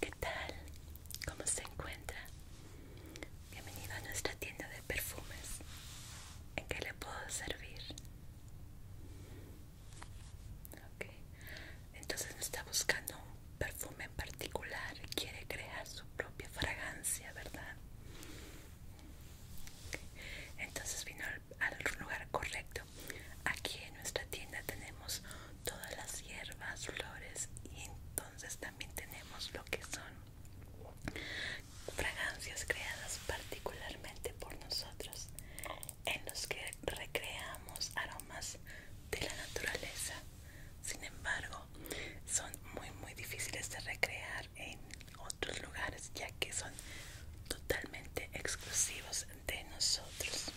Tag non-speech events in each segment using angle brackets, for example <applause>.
¿Qué tal? ¿Cómo se encuentra? Bienvenido a nuestra tienda de perfumes. ¿En qué le puedo servir? Entonces no está buscando un perfume en particular. Quiere crear su propia fragancia, ¿verdad? Entonces vino al lugar correcto. Aquí en nuestra tienda tenemos todas las hierbas, flores y entonces también tenemos lo que son fragancias creadas particularmente por nosotros, en los que recreamos aromas de la naturaleza. Sin embargo, son muy muy difíciles de recrear en otros lugares ya que son totalmente exclusivos de nosotros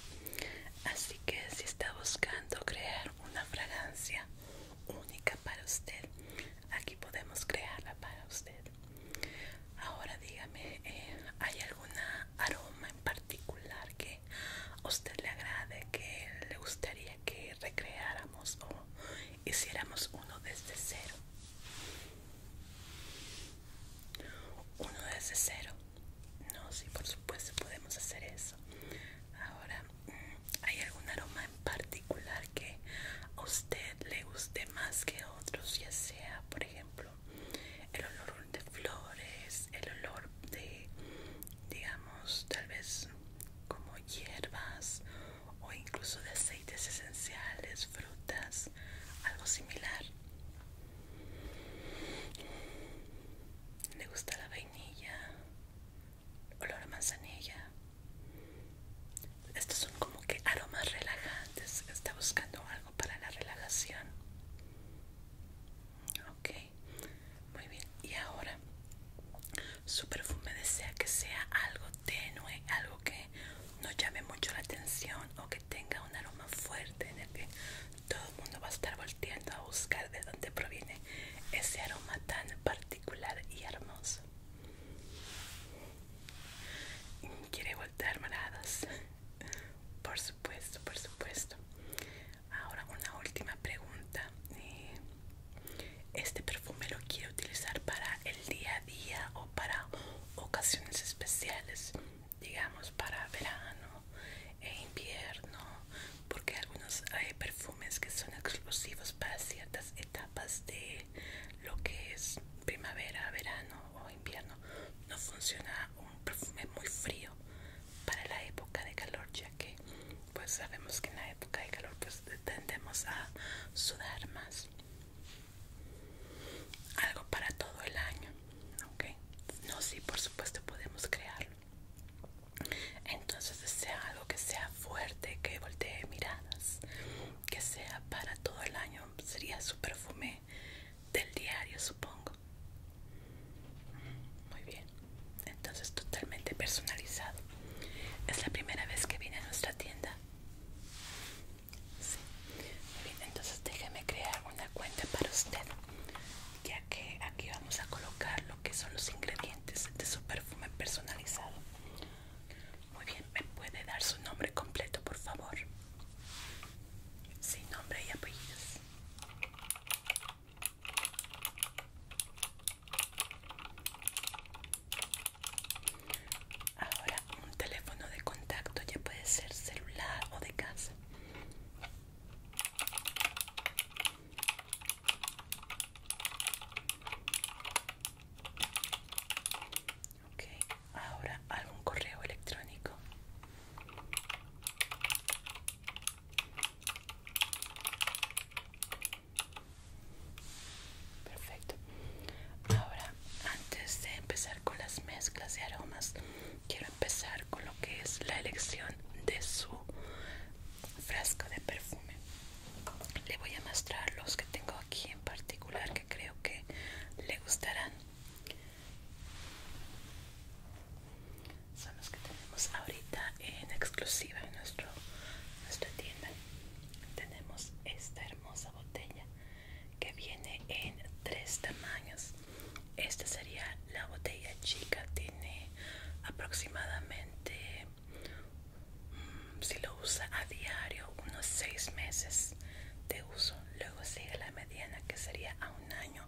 así que si está buscando crear una fragancia única para usted aquí podemos crearla para usted ahora dígame eh, hay alguna aroma en particular que a usted le agrade que le gustaría que recreáramos o hiciéramos uno desde cero uno desde cero no si por supuesto podemos hacer eso ahora mm, hay algún aroma en particular que a usted le guste más que otros ya sea por ejemplo el olor de flores el olor de digamos tal vez como hierbas o incluso de aceites esenciales, frutas, algo similar. Le gusta la vainilla, olor a manzanilla. Estos son como que aromas relajantes. Está buscando algo para la relajación. Ok, muy bien. Y ahora, su perfume desea que sea algo tenue, algo que no llame mucho la atención o que tenga un aroma fuerte en el que todo el mundo va a estar volteando a buscar de dónde proviene ese aroma tan particular y hermoso. ¿Quiere voltear moradas? Por supuesto, por supuesto. Ahora una última pregunta. Eh, este perfume lo quiero utilizar para el día día o para ocasiones especiales, digamos para verano e invierno, porque algunos hay perfumes que son exclusivos para ciertas etapas de lo que es primavera, verano o invierno. No funciona un perfume muy frío para la época de calor, ya que pues sabemos que en la época de calor pues tendemos a sudar más algo para todo el año ok no si por supuesto podemos crearlo entonces sea algo que sea fuerte que voltee miradas que sea para todo el año sería su perfume del diario supongo muy bien entonces totalmente personalizado es la primera vez que viene a nuestra tienda Sí. Bien, entonces déjeme crear una cuenta para usted, ya que aquí vamos a colocar lo que son los ingredientes de su perfume personalizado. Muy bien, ¿me puede dar su nombre completo, por favor? Sí, nombre y apellidos. Ahora un teléfono de contacto ya puede ser celular o de casa. Ok, ahora algún correo electrónico. Perfecto. Ahora, antes de empezar con las mezclas de aromas, quiero empezar con lo que es la elección de su frasco de perfume. Le voy a mostrar los que tengo aquí en particular que creo que le gustarán. Son los que tenemos ahorita en exclusiva en nuestro, nuestra tienda. Tenemos esta hermosa botella que viene en tres tamaños esta sería la botella chica tiene aproximadamente mm, si lo usa a diario unos seis meses de uso luego sigue la mediana que sería a un año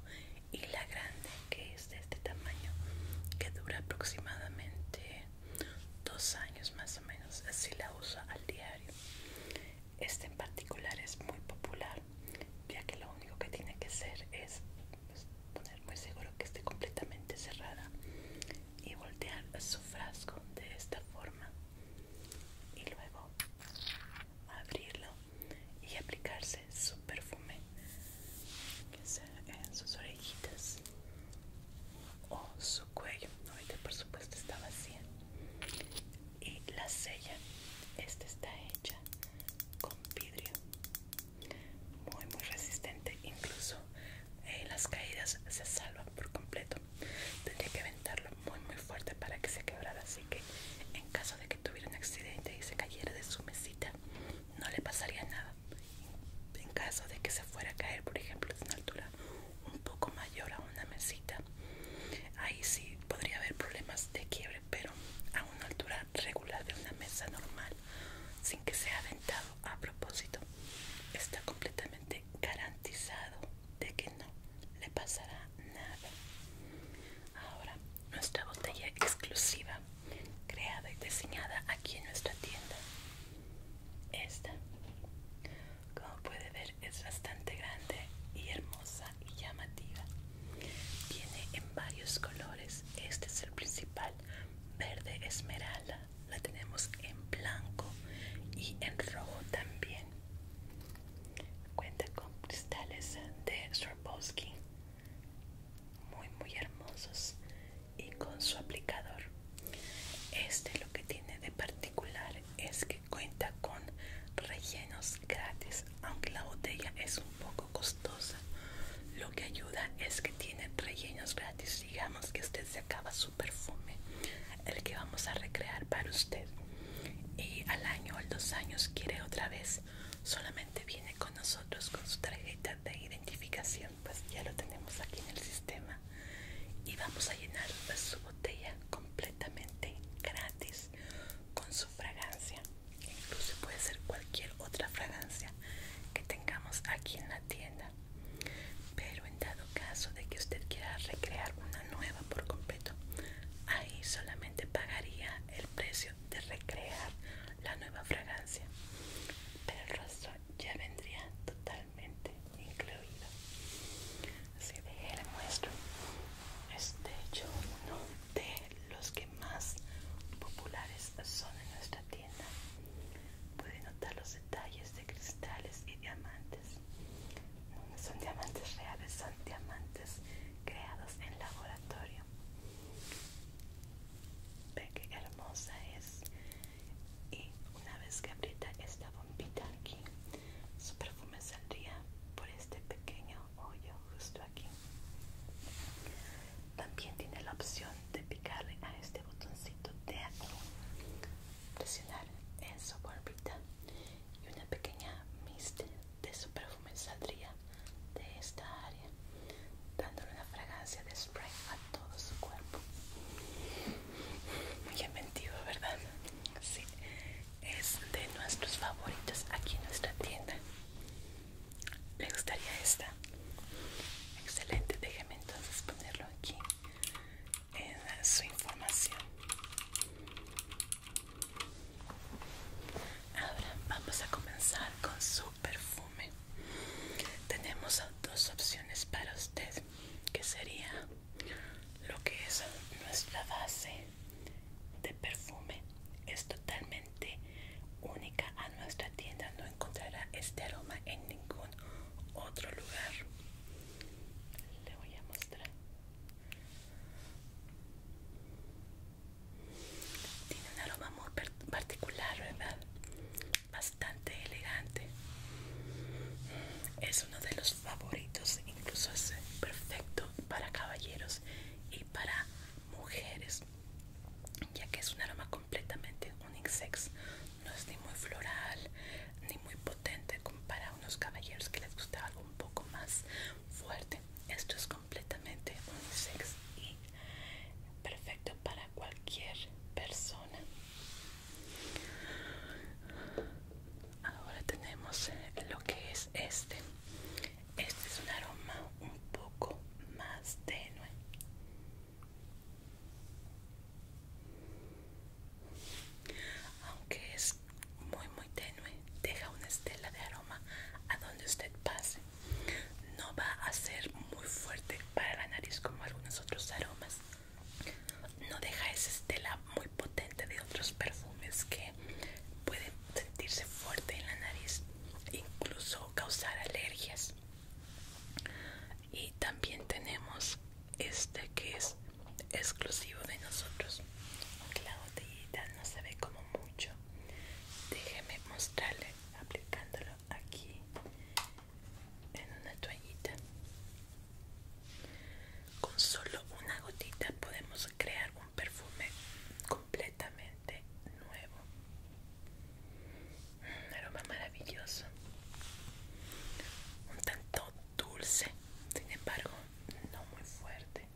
y la grande que es de este tamaño que dura aproximadamente dos años más o menos así la usa al día este en particular es muy popular, ya que lo único que tiene que hacer es pues, poner muy seguro que esté completamente cerrada y voltear su frasco de esta forma y luego abrirlo y aplicarse su perfume que sea en sus orejitas o su cuello ahorita por supuesto está vacía y la sella esta está hecha con vidrio muy muy resistente incluso en eh, las caídas se salvan por completo tendría que aventarlo muy muy fuerte para que se quebrara así que en caso de que tuviera un accidente y se cayera de su mesita no le pasaría nada en caso de que se fuera a caer por ejemplo de una altura un poco mayor a una mesita ahí sí podría haber problemas de quiebre pero a una altura regular de una mesa normal sin que sea aventado a propósito está completamente garantizado de que no le pasará nada ahora nuestra botella exclusiva creada y diseñada aquí en nuestra tienda esta como puede ver es bastante grande y hermosa y llamativa. Viene en varios colores. Este es el principal, verde esmeralda. La tenemos en blanco y en rojo también. Cuenta con cristales de Swarovski, muy muy hermosos y con su aplicador este lo que tiene de particular es que cuenta con rellenos gratis, aunque la botella es un poco costosa. Lo que ayuda es que tiene rellenos gratis. Digamos que usted se acaba su perfume, el que vamos a recrear para usted. Y al año o dos años quiere otra vez, solamente viene con nosotros con su tarjeta de identificación. Pues ya lo tenemos aquí en el sistema y vamos a llenar su botella completamente gratis con su fragancia incluso puede ser cualquier otra fragancia que tengamos aquí en la tienda pero en dado caso de que usted quiera recrear una nueva por completo ahí solamente pagaría el precio de recrear la nueva fragancia pero el resto ya vendría totalmente incluido así de le muestro este hecho uno de los que más populares son en nuestra tienda puede notar los detalles de cristales y diamantes no son diamantes reales son diamantes creados en laboratorio ve que hermosa es y una vez que aprieta esta bombita aquí su perfume saldría por este pequeño hoyo justo aquí también tiene la opción de picarle a este botoncito de aquí presionar en su bombita y una pequeña mist de su perfume saldría de esta área dándole una fragancia de spray todo su cuerpo. Muy inventivo, ¿verdad? Sí, es de nuestros favoritos aquí en nuestra tienda. ¿Le gustaría esta? Excelente, déjeme entonces ponerlo aquí en su información. Ahora vamos a comenzar con su perfume. Tenemos dos opciones para usted, que sería lo que es nuestra base de perfume es totalmente única a nuestra tienda no encontrará este aroma en ningún otro lugar le voy a mostrar tiene un aroma muy particular verdad bastante elegante es uno de los favoritos incluso es perfecto para caballeros y para mujeres ya que es un aroma completamente unisex no es ni muy floral ni muy potente como para unos caballeros que les gusta algo un poco más fuerte esto es completamente unisex y perfecto para cualquier persona ahora tenemos lo que es este este es un aroma un poco más tenue aunque es muy muy tenue deja una estela de aroma a donde usted pase no va a ser muy fuerte para la nariz como algunos otros aromas no deja esa estela muy potente de otros perfumes que pueden sentirse fuerte en la nariz incluso causar alergias y también tenemos este que es exclusivo de nosotros la botellita no se ve como mucho déjeme mostrarle aplicándolo aquí en una toallita. Con solo una gotita podemos crear un perfume completamente nuevo. Un aroma maravilloso. Un tanto dulce, sin embargo, no muy fuerte.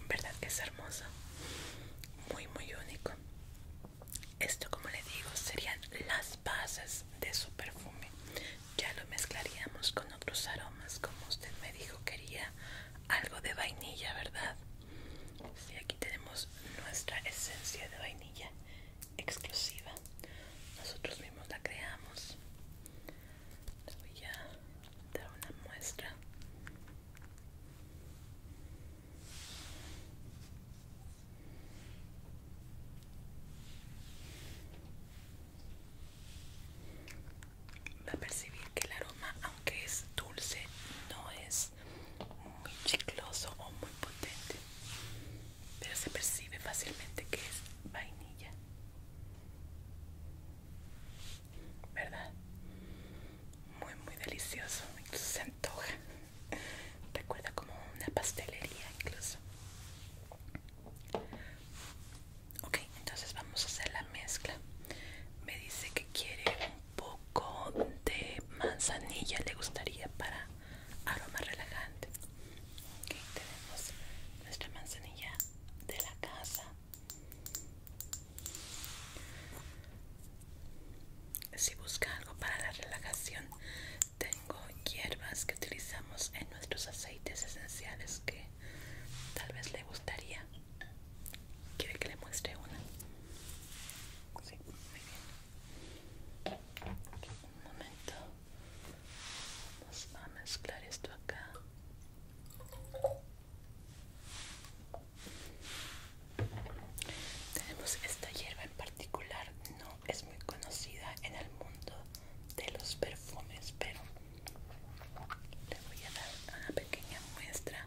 En verdad que es hermoso. Muy, muy único. Esto, como le digo, serían las bases de su perfume. Ya lo mezclaríamos con otros aromas, como usted me dijo, quería algo de vainilla, ¿verdad? Sí, aquí tenemos nuestra esencia de vainilla exclusiva. Nosotros mismos la creamos. Le voy a dar una muestra. Va a percibir que el aroma, aunque es dulce, no es muy chicloso o muy potente, pero se percibe fácilmente que es vainilla. ¿Verdad? muy muy delicioso se antoja <laughs> recuerda como una pastelería incluso ok entonces vamos a hacer la mezcla me dice que quiere un poco de manzanilla le gustaría para aroma relajante ok tenemos nuestra manzanilla de la casa si busca algo para la relajación, tengo hierbas que utilizamos en nuestros aceites esenciales que tal vez le gustaría. ¿Quiere que le muestre una? Sí, muy bien. Un momento. Vamos a mezclar esto acá. Tenemos esta hierba en particular, no es muy conocida en el mundo de los perfumes, pero le voy a dar una pequeña muestra.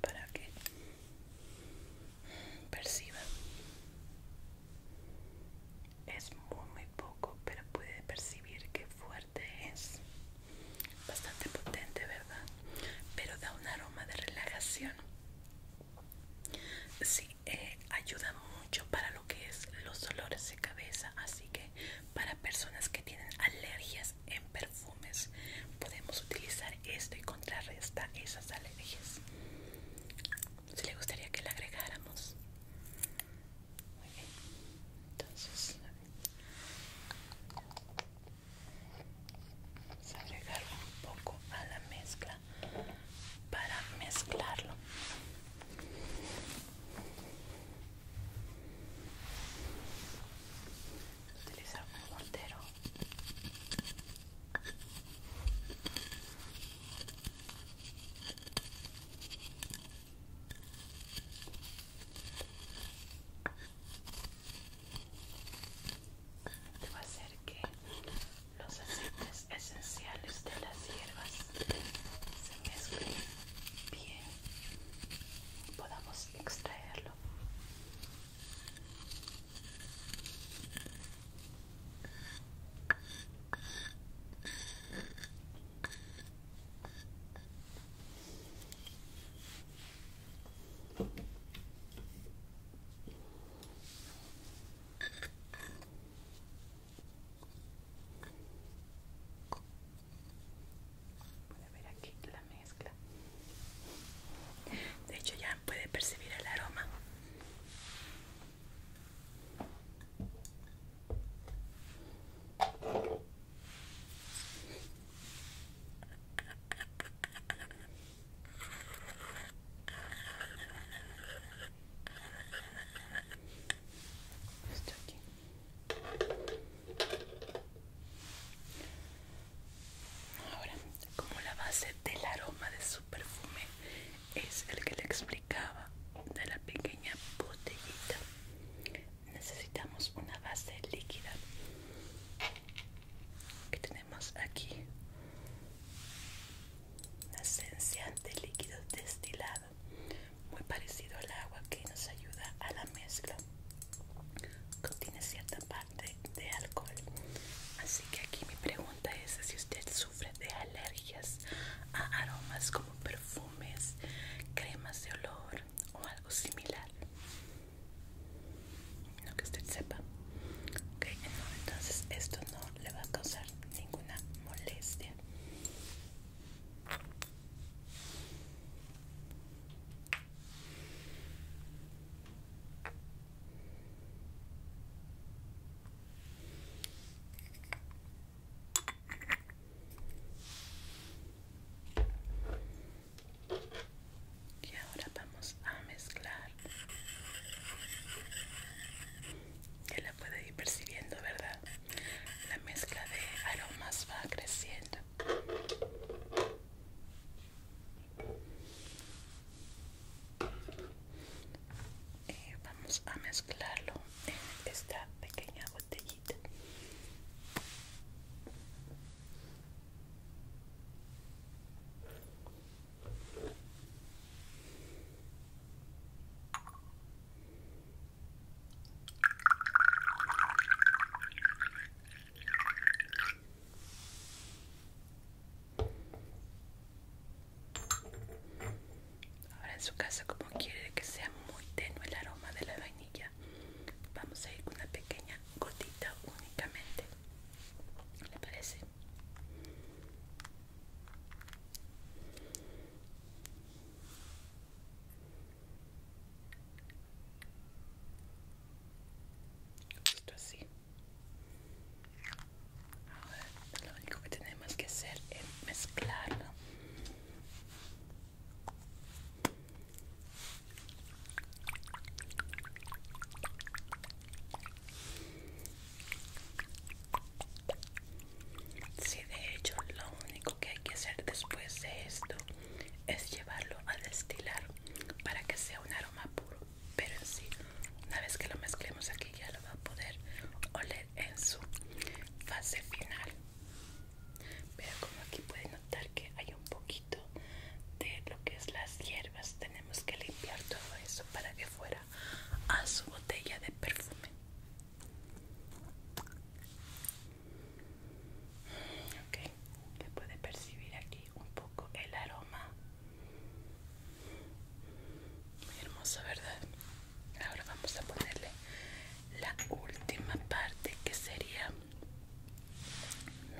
Para que perciba, es muy, muy poco, pero puede percibir que fuerte es bastante potente verdad pero da un aroma de relajación sí eh, ayuda mucho para lo que es los dolores de cabeza así que para personas que tienen alergias en perfumes podemos utilizar esto y contrarresta esas alergias si le gustaría que le agregáramos muy bien. Entonces, vamos a agregar un poco a la mezcla para mezclarlo. Utilizar un mortero. Te va a hacer que los aceites esenciales de las hierbas se mezclen bien y podamos extraerlo. Puede ver aquí la mezcla. De hecho ya puede percibir el aroma. Ahora, como la base del aroma de su perfume es el que le explicaba de la pequeña botellita, necesitamos una base líquida que tenemos aquí una esencia de líquido destilado muy parecido al agua que nos ayuda a la mezcla contiene cierta parte de alcohol así que aquí mi pregunta es si usted sufre de alergias a aromas como perfumes cremas de olor o algo similar Lo que usted sepa entonces esto no le va a causar ninguna molestia y ahora vamos a mezclar Ya la puede ir percibiendo verdad la mezcla de aromas va creciendo y eh, vamos a mezclarlo en esta pequeña Ahora en su casa como quiere que sea muy tenue el aroma de la vainilla vamos a ir con una pequeña gotita únicamente ¿le parece? Esto así ahora lo único que tenemos que hacer es mezclarlo si de hecho, lo único que hay que hacer después de esto es llevarlo a destilar para que sea un aroma puro. Pero en sí, una vez que lo mezclemos aquí ya lo va a poder oler en su fase final. Pero como aquí pueden notar que hay un poquito de lo que es las hierbas, tenemos que limpiar todo eso para que fuera a su botella de perfume. Ok, se puede percibir aquí un poco el aroma. Muy hermoso, ¿verdad? ahora vamos a ponerle la última parte que sería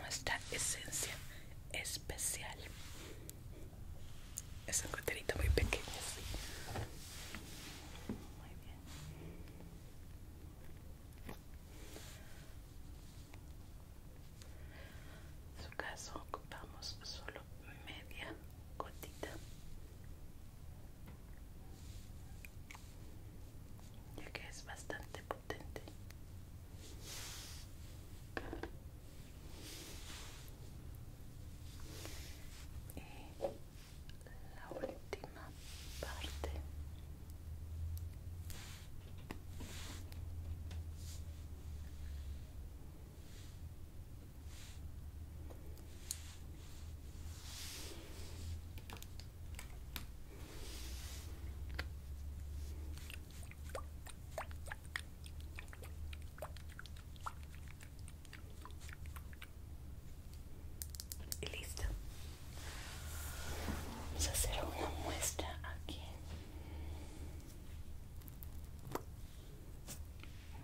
nuestra esencia especial es un goterito muy pequeño muy bien en su caso ocupamos solo media gotita ya que es bastante potente y la última parte y listo. Vamos a hacer una muestra aquí.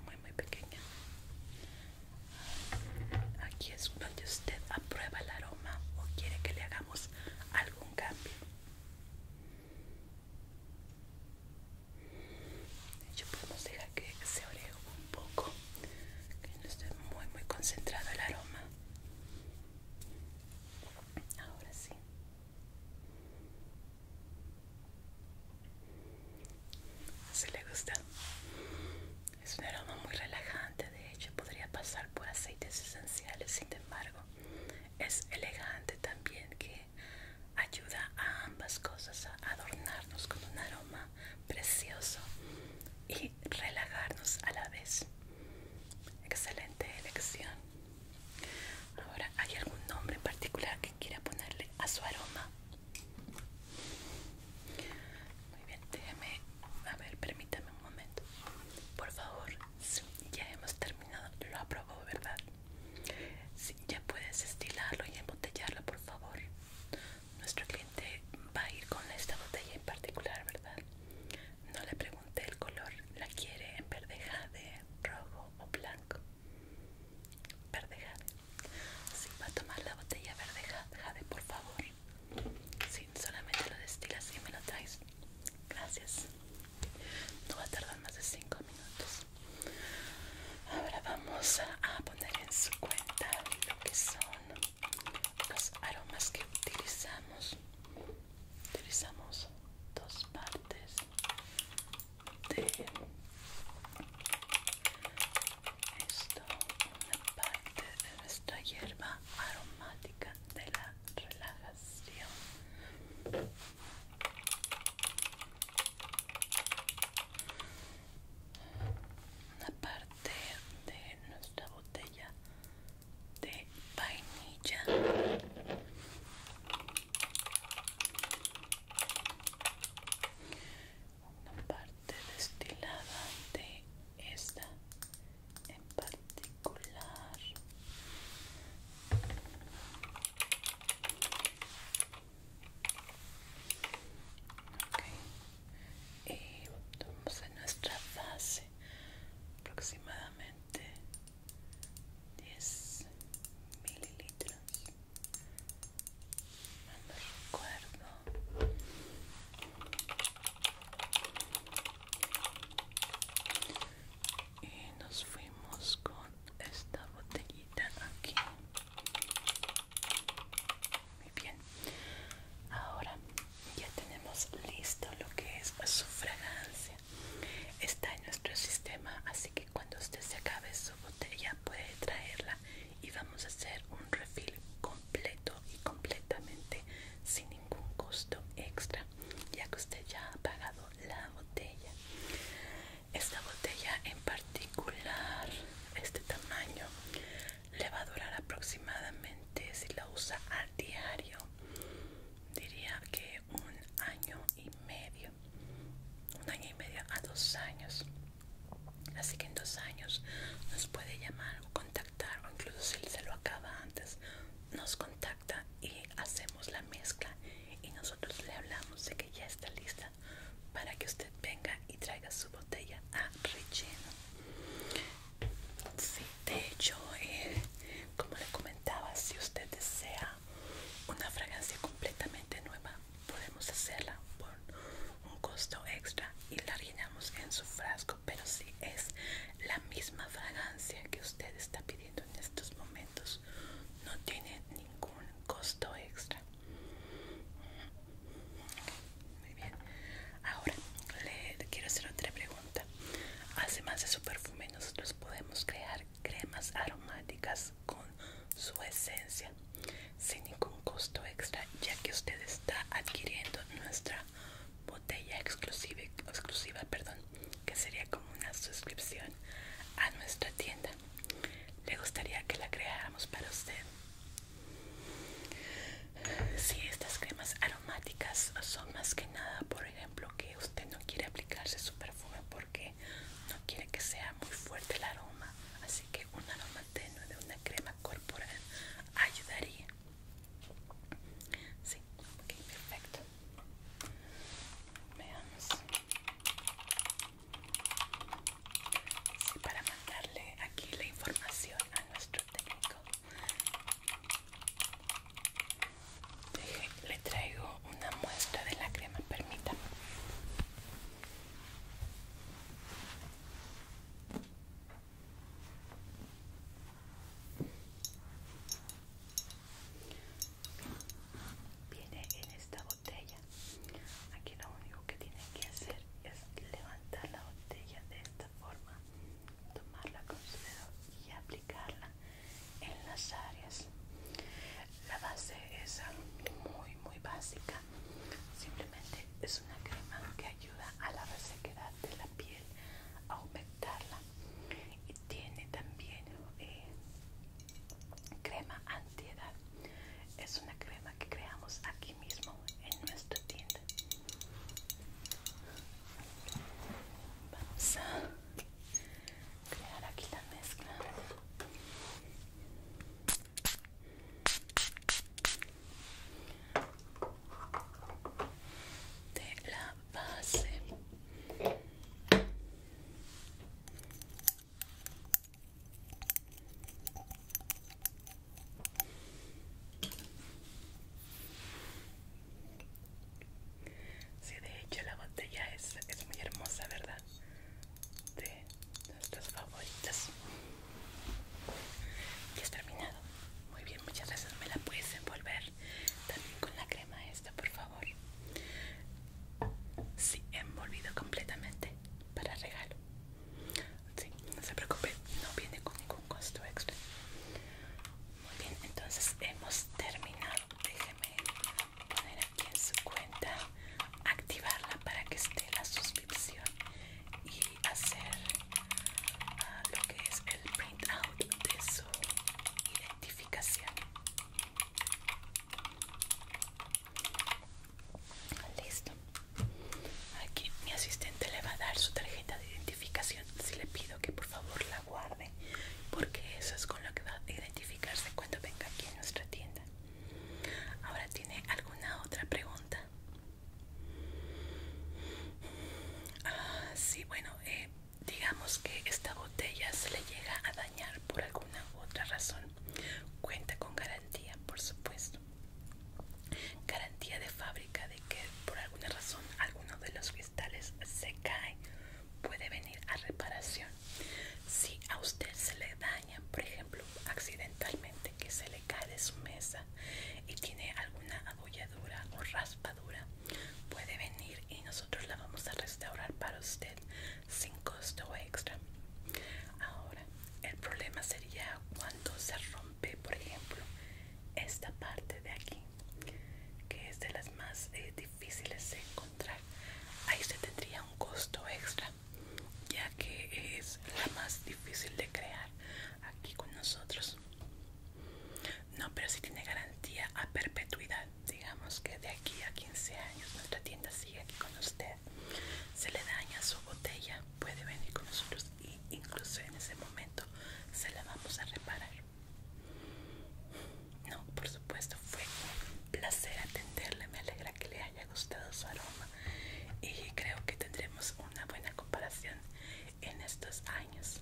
Muy, muy pequeña. Aquí es donde usted aprueba el aroma o quiere que le hagamos algún cambio. De hecho, podemos dejar que se oreje un poco, que no esté muy, muy concentrado el aroma. Ahora sí si le gusta es un aroma muy relajante de hecho podría pasar por aceites esenciales sin embargo es elegante también que ayuda a ambas cosas a adornarnos con un aroma precioso y relajarnos a la vez excelente elección ahora hay algún nombre en particular que quiera ponerle a su aroma muy bien, déjame a ver, permítame un momento. Por favor, ya hemos terminado. Lo aprobó, ¿verdad? Sí, ya puedes estilarlo y embotellarlo, por favor. Nuestro cliente va a ir con esta botella en particular, ¿verdad? No le pregunte el color. ¿La quiere en verde jade, rojo o blanco? Verde jade. Así va a tomar la botella verde, Jade, por favor. Sin solamente lo destilas y me lo traes. Gracias. No va a tardar más de 5 minutos. Ahora vamos a, a poner en su cuenta lo que son los aromas que utilizamos. Utilizamos dos partes de esto una parte de nuestra hierba aromática de la relajación una parte de nuestra botella de vainilla una parte destilada de esta en particular y tomamos en nuestra base aproximadamente 10 mililitros no recuerdo y nos fuimos con esta botellita aquí muy bien ahora ya tenemos listo lo que es su fragancia está en nuestro sistema así que cuando usted se acabe su puede traerla y vamos a hacer un refil completo y completamente sin ningún costo extra ya que usted ya ha pagado la botella esta botella en particular este tamaño le va a durar aproximadamente si la usa a diario diría que un año y medio un año y medio a dos años Así que en dos años nos puede llamar o contactar, o incluso si se lo acaba antes, nos contacta y hacemos la mezcla. Y nosotros le hablamos de que ya está lista para que usted venga y traiga su botella a relleno. Sí, de hecho, eh, como le comentaba, si usted desea una fragancia completamente nueva, podemos hacerla por un costo extra y la llenamos en su frasco pero si es la misma fragancia que usted está pidiendo en estos momentos no tiene ningún costo extra muy bien ahora le quiero hacer otra pregunta además de su perfume nosotros podemos crear cremas aromáticas con su esencia sin ningún costo extra ya que usted está adquiriendo nuestra botella exclusiva, exclusiva perdón, que sería como una suscripción a nuestra tienda le gustaría que la creáramos para usted si estas cremas aromáticas son más que nada por ejemplo que usted no quiere aplicarse su perfume porque no quiere que sea muy fuerte el aroma que un aroma tenue de una crema corporal ayudaría. Sí, ok, perfecto. Veamos. para mandarle aquí la información a nuestro técnico. le traigo una muestra de la crema, permítame. Viene en esta botella. Aquí lo único que tienen que hacer es levantar la botella de esta forma, tomarla con su dedo y aplicarla en las áreas. La base es muy muy básica, simplemente es una crema que ayuda a la resequedad de la piel, a aumentarla y tiene también crema eh, crema antiedad. Es una crema que creamos aquí mismo en nuestro tienda. Vamos a crear aquí la mezcla de la base si de hecho la botella es, es muy hermosa verdad nuestras favoritas y es terminado muy bien muchas gracias me la puedes envolver también con la crema esta por favor sí envolvido completamente para regalo sí no se preocupe no viene con ningún costo extra muy bien entonces hemos terminado déjeme poner en su cuenta, activarla para que esté la suscripción y hacer ah, lo que es el printout de su identificación. Listo. Aquí mi asistente le va a dar su tarjeta de identificación. Si le pido que por favor la guarde, porque eso es con lo que va a identificarse cuando venga aquí a nuestra tienda. Ahora tiene alguna otra pregunta. Ah, sí, bueno, eh, digamos que esta botella se le llega a dañar por alguna otra razón. Cuenta con garantía, por supuesto. Garantía de fábrica de que por alguna razón alguno de los cristales se cae. Puede venir a reparación. Si a usted se le da por ejemplo, accidentalmente que se le cae de su mesa y tiene alguna abolladura o raspadura, puede venir y nosotros la vamos a restaurar para usted sin costo extra. Ahora, el problema sería cuando se rompe, por ejemplo, esta parte de aquí, que es de las más eh, difíciles de encontrar. Ahí se tendría un costo extra ya que es la más difícil de crear aquí con nosotros no pero si tiene garantía a perpetuidad digamos que de aquí a 15 años nuestra tienda sigue aquí con usted se le daña su botella puede venir con nosotros y incluso en ese momento se la vamos a reparar no por supuesto fue un placer atenderle me alegra que le haya gustado su aroma y creo que tendremos una buena comparación en estos años.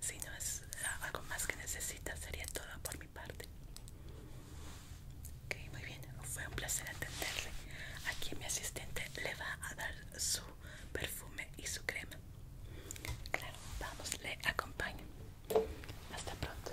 Si no es algo más que necesita, sería todo por mi parte. Ok, muy bien, fue un placer atenderle. Aquí mi asistente le va a dar su perfume y su crema. Claro, vamos, le acompaño. Hasta pronto.